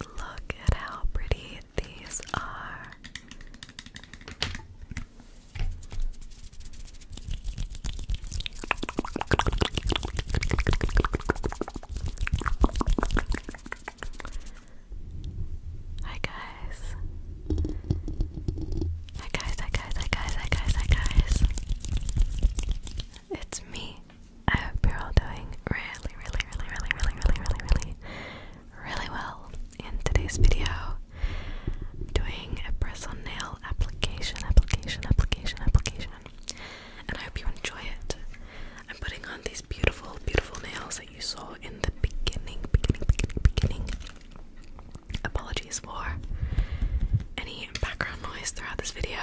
Look at how pretty these are. Hi guys. Hi guys, hi guys, hi guys, hi guys, It's me, I hope you're all doing really, really, really, really, really, really, really, really, really well. In today's video, I'm doing a press on nail application, application, application, application, and I hope you enjoy it. I'm putting on these beautiful, beautiful nails that you saw in the beginning, beginning, beginning, beginning. Apologies for any background noise throughout this video.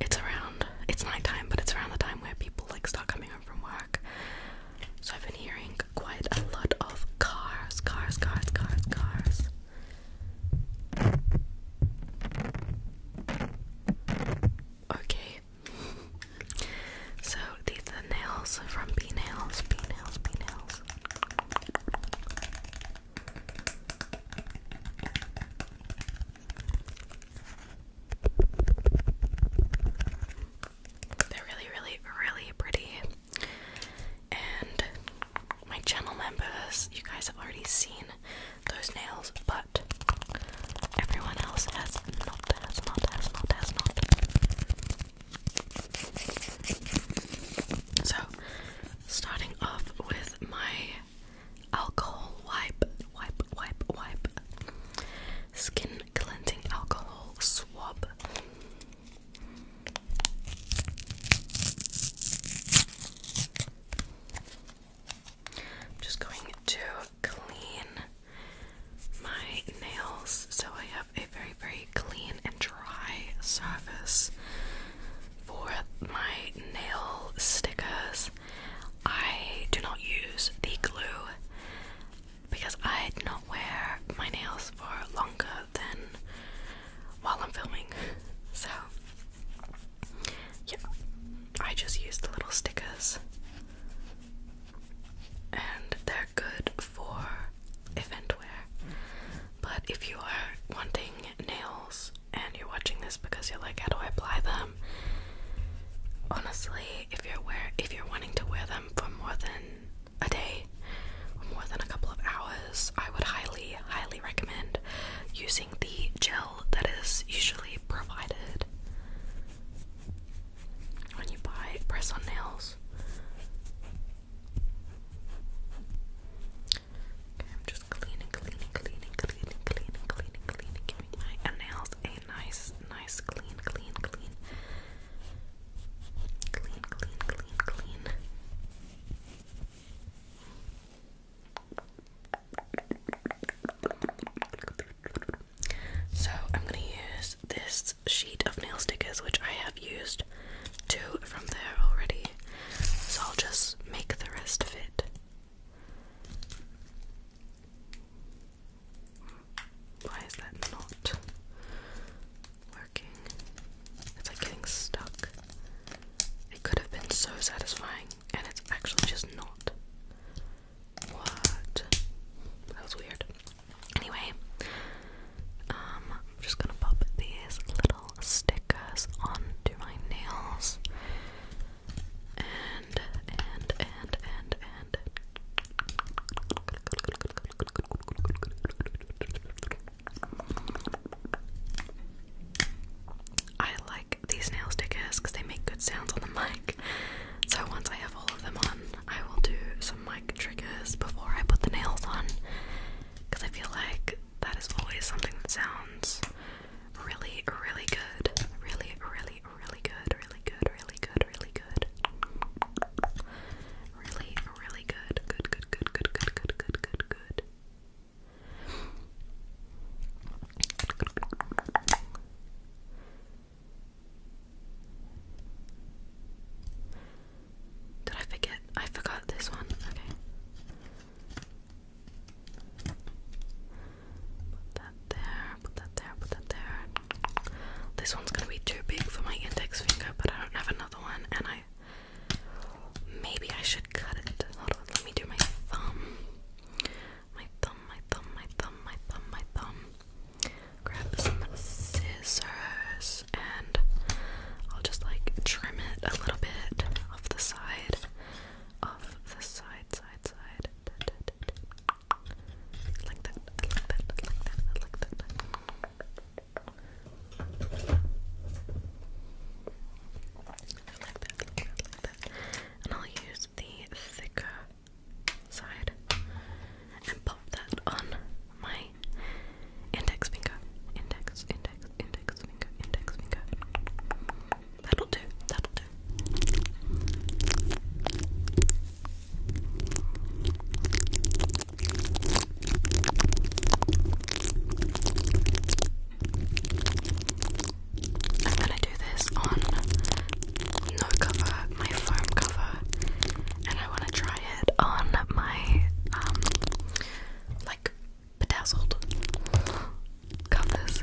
It's around it's nighttime, but it's around the time where people like start coming home from work. So I've been hearing quite a lot of cars, cars, cars, cars, cars. Okay. So these are nails from B nails, B nails, B nails. They're really, really, really pretty. And my channel members, you guys have already seen those nails, but everyone else has not, has not, has not, has not. So, starting off with my alcohol wipe, wipe, wipe, wipe, skin cleansing alcohol swab. I'm just going to clean my nails so I have a very, very clean and dry surface for my nail stickers. I do not use the glue because I do not wear my nails for longer than while I'm filming. So, yeah, I just use the little stickers, and they're good for event wear. But if you are wanting nails and you're watching this because you're like, how do I apply them? Honestly, if you're wear if you're wanting to wear them for more than a day more than a couple of hours, I would highly, highly recommend using the gel that is usually provided when you buy press on nails. I'm just cleaning, cleaning, cleaning, cleaning, cleaning, cleaning, cleaning, giving my nails a nice, nice clean, clean, clean, clean, clean, clean, clean. So I'm gonna use this sheet of nail stickers, which I have used two from there already. So I'll just make the rest fit. Why is that not working? It's like getting stuck. It could have been so satisfying, and it's actually just not. What? That was weird. Anyway, um, I'm just gonna pop these little stickers onto my nails and and and and and I like these nail stickers because they make good sounds on the mic. So once I have all of them on, I will do some mic triggers before I put the nails on because I feel like that is always something that sounds really, really good. Really, really, really good. Really good. Really good. Really good. Really, really good. Good, good, good, good, good, good, good, good, good. Did I forget? I forgot this one. Okay. Put that there, put that there, put that there. This one's gonna be too big for my index finger, but I don't have another one, and I. Maybe I should cut it. Hold on, let me do my thumb. My thumb, my thumb, my thumb, my thumb, my thumb. Grab some scissors and I'll just like trim it a little bit off the side of the side, side, side. like that. Like that, like that, like that. And I'll use the thicker side and pop that on my index finger. Index, index, index finger, index finger. That'll do, that'll do. I'm gonna do this on no cover, my foam cover, and I wanna try it on my um, like bedazzled covers.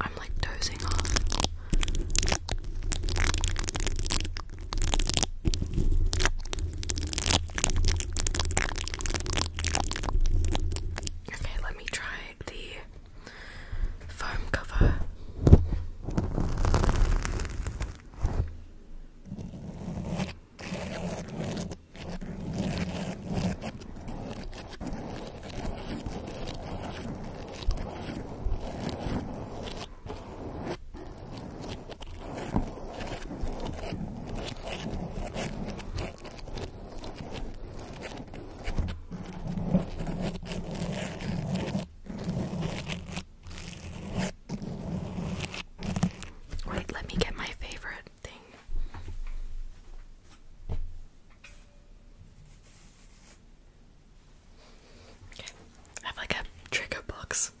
I'm like dozing off. Okay, let me try the foam cover. Wait, let me get my favorite thing. I have like a trigger box.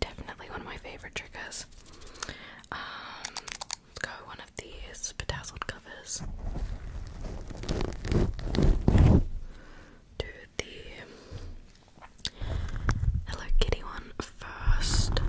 Definitely one of my favorite triggers. Um, Let's go one of these bedazzled covers do the Hello Kitty one first.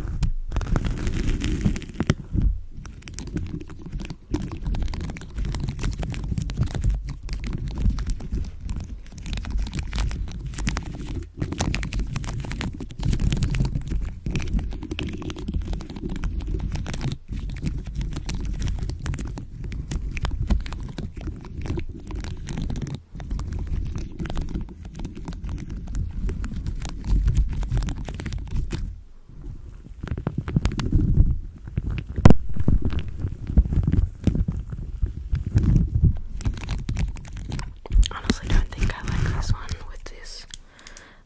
Honestly, don't think I like this one with this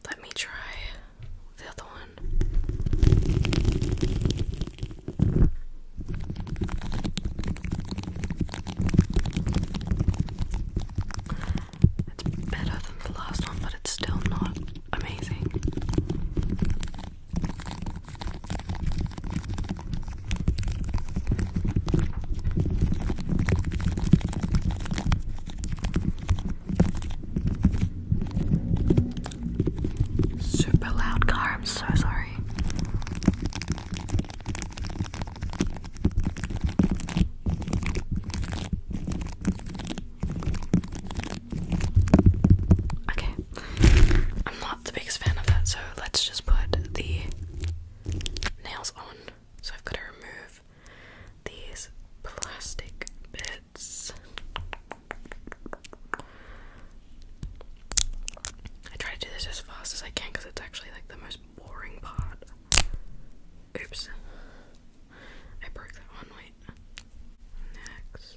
let me try the other one. It's better than the last one, but it's still not amazing. Super loud car, I'm so sorry. Okay, I'm not the biggest fan of that, so let's just put the nails on. So I've got to remove these plastic bits. I try to do this as fast as I can because it's actually like the most boring part. Oops. I broke that one, wait. Next.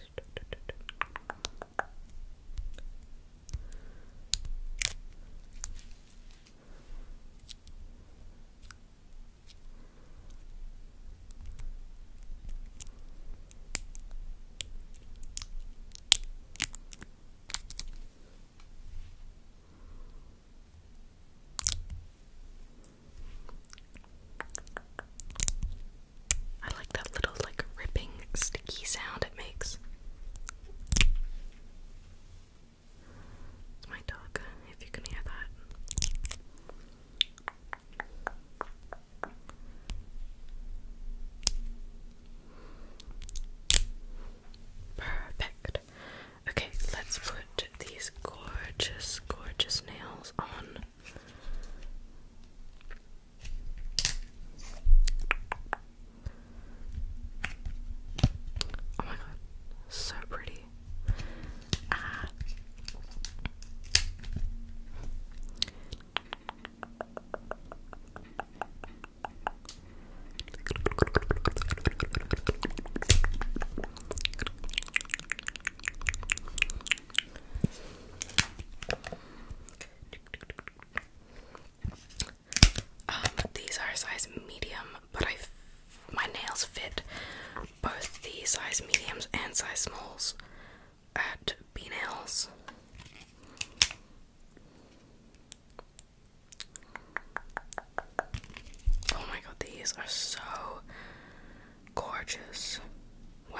I like that little, like, ripping, sticky sound it makes. It's my dog, if you can hear that. Perfect. Okay, let's put these gorgeous, gorgeous nails on. Oh my god, so pretty. Um, these are size medium, but I f my nails fit both the size mediums and size smalls at B Nails. Oh my god, these are so gorgeous. Wow.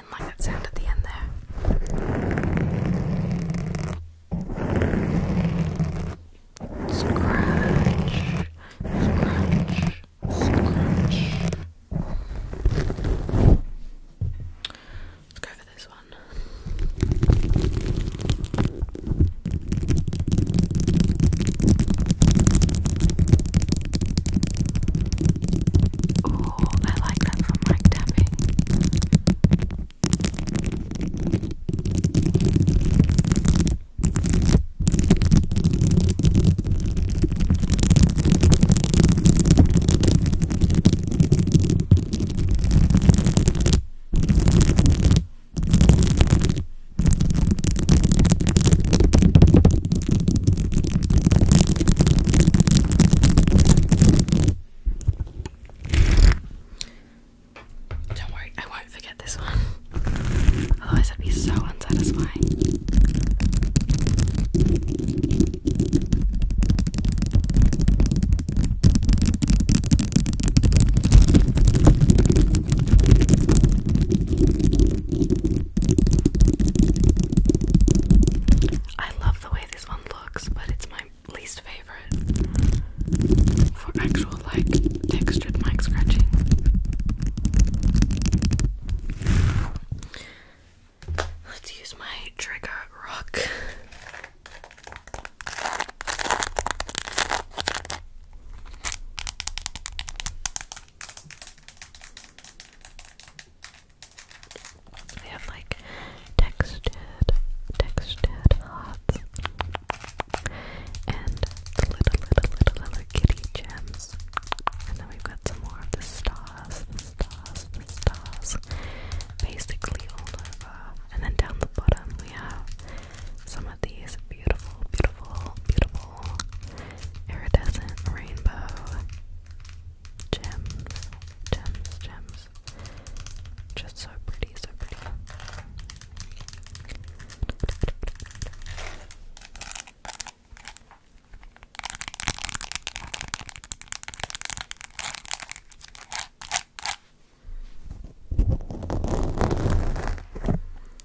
didn't like that sound at the end there. Scratch, scratch, scratch. Let's go for this one. Oh, I like that from mic tapping. Don't worry, I won't forget this one. Otherwise, I'd be so unsatisfying. I love the way this one looks, but it's my least favorite for actual like textured mic scratching. Let's use my trigger rock. We have like textured, textured hearts and little, little, little, little kitty gems. And then we've got some more of the stars, stars, stars, basically all over. And then down the bottom we have some of these beautiful, beautiful, beautiful iridescent rainbow gems, gems, gems. Just so pretty, so pretty.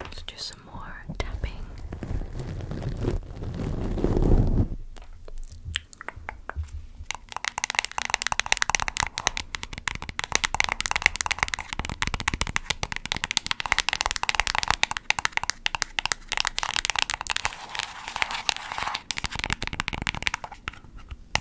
Let's do some more tapping. Good.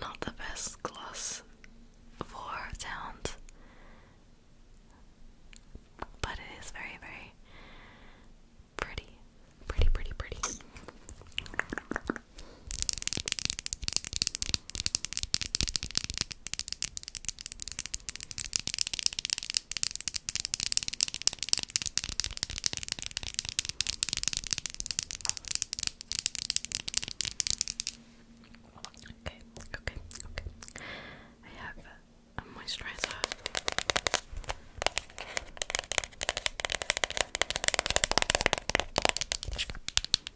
Not the best gloss for sound, but it is very, very pretty. Pretty, pretty, pretty. Okay, okay, okay. I have a moisturizer.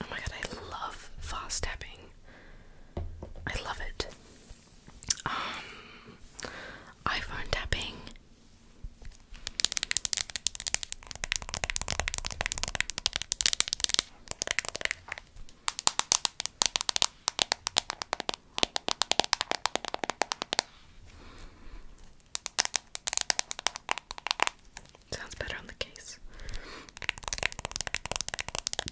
Oh my god, I love fast tapping. I love it um, iPhone tapping. Sounds better on the case.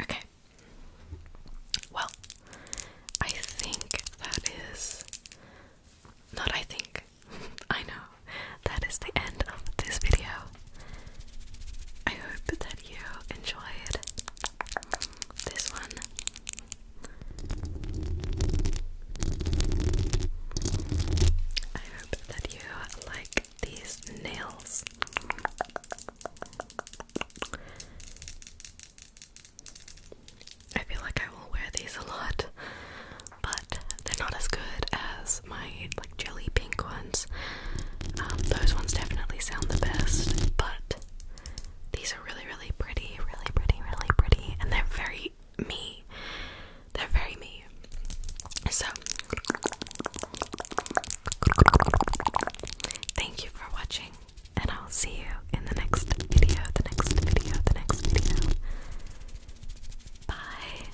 Okay. Well, I think that is. Not I think. I know. That is the end of this video. I hope that you enjoyed this one. I hope that you like these nails. I feel like I will wear these a lot, but they're not as good as my like jelly pink ones. Um, those ones definitely sound the best, but these are really, really pretty, really pretty, really pretty, and they're very me. They're very me. So, thank you for watching, and I'll see you in the next video, the next video, the next video. Bye.